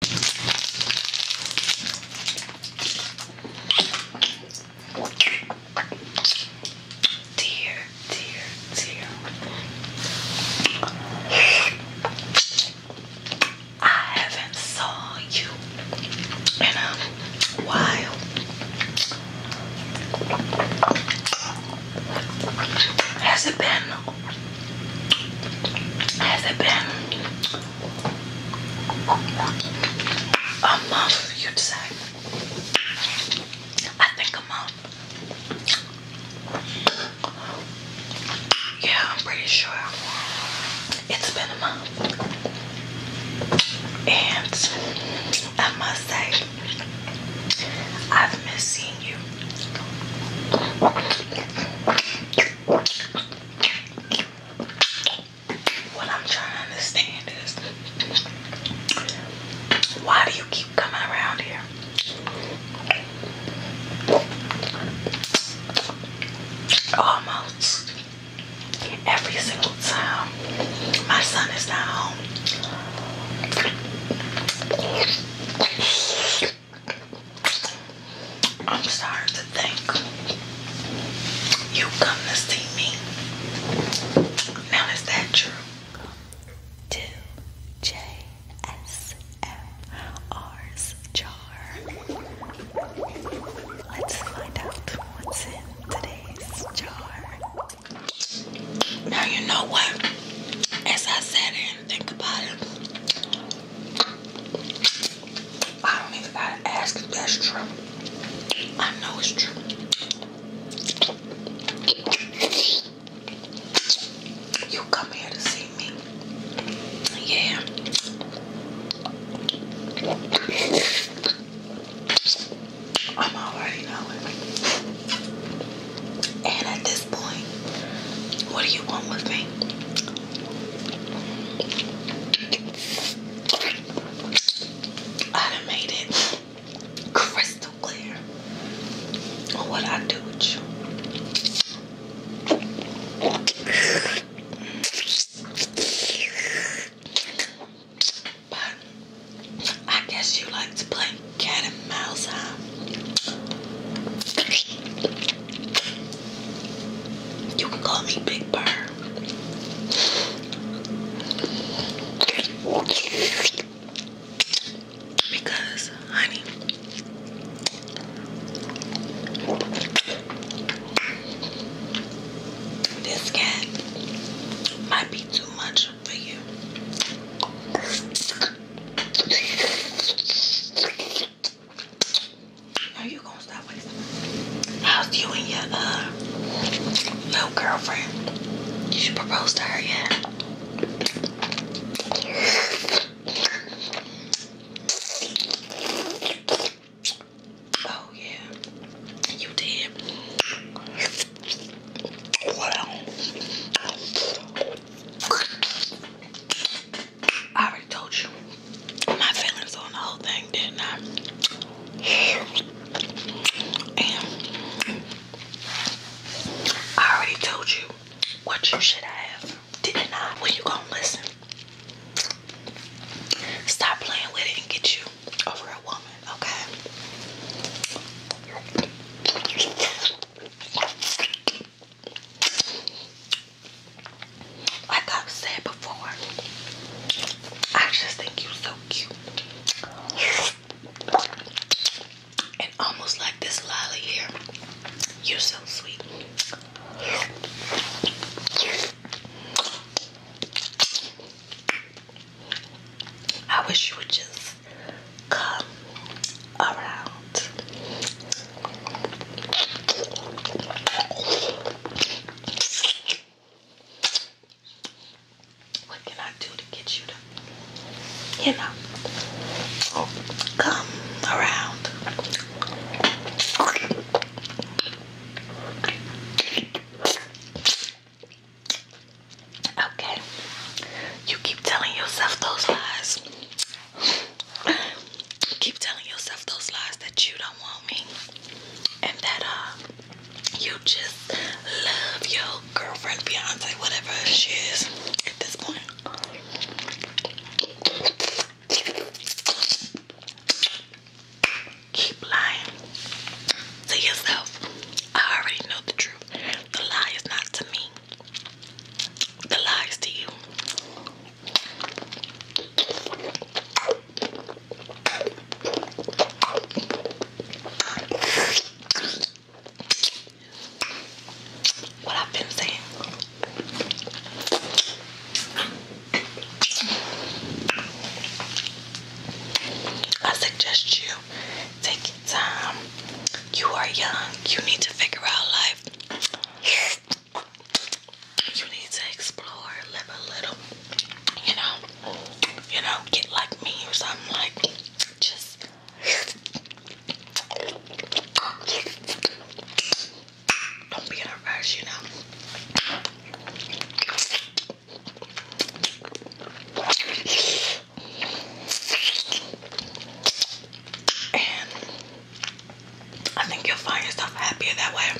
Dear, dear, dear. I haven't saw you in a while. Has it been? Has it been a month, you'd say. I think a month. Yeah, I'm pretty sure it's been a month. And I must say, I've missed seeing you. What I'm trying to understand is why do you keep coming around here? Almost every single time my son is not home. I'm sorry to think you come to see me. Now is that true? To J S M R's jar. Let's find out what's in today's jar. Now you know what? As I sat think about it. I don't even gotta ask that's true. I know it's true. You come here to see me. Yeah. I'm already knowing. And at this point, what do you want with me? I crystal clear what I do with you. But I guess you like to play cat and mouse, huh? You can call me Big Bird. Because, honey, this cat might be too much for you. Now you gonna stop with How's you and your uh little girlfriend? You should propose to her, yeah. Oh yeah, you did. Well, I already told you my feelings on the whole thing, didn't I? already told you what you should have, didn't When you gonna listen? Stop playing with it and get you a woman, okay? Like I've said before, I just think you're so cute. And almost like this lolly here, you're so sweet. I wish you would just come around what can I do to get you to, you know, come around? Okay. You keep telling yourself those lies. Keep telling yourself those lies that you don't want me and that uh you just love your girlfriend, fiance, whatever she is at this point. Keep lying to yourself. I already know the truth. The lie is not to me. The lie to you. What I've been saying. I suggest you take your time. You are young. You need to figure out life. You need to explore, live a little, you know, you know, get like me or something like just don't be in you know. And I think you'll find yourself happier that way.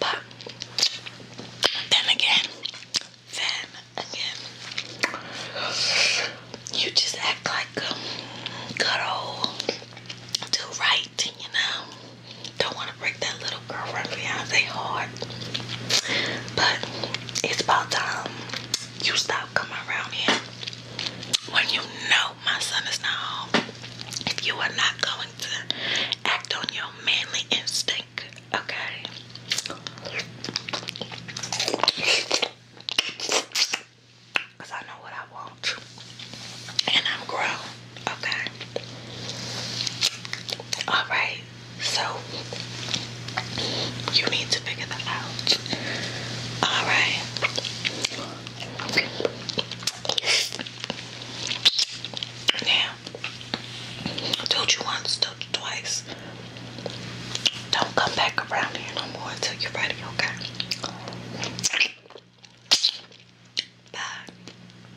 But then again, then again, you just act like um, good old do right, you know. Don't want to break that little girl girlfriend fiance heart. But it's about time you stop coming around here when you know my son is not home. If you are not going to act on your manly instinct, okay? I know what I want. And I'm grown. Okay. All right. So you need to figure that out. All right. Now, told you once, told you twice. Don't come back around here no more until you're ready, okay? Bye.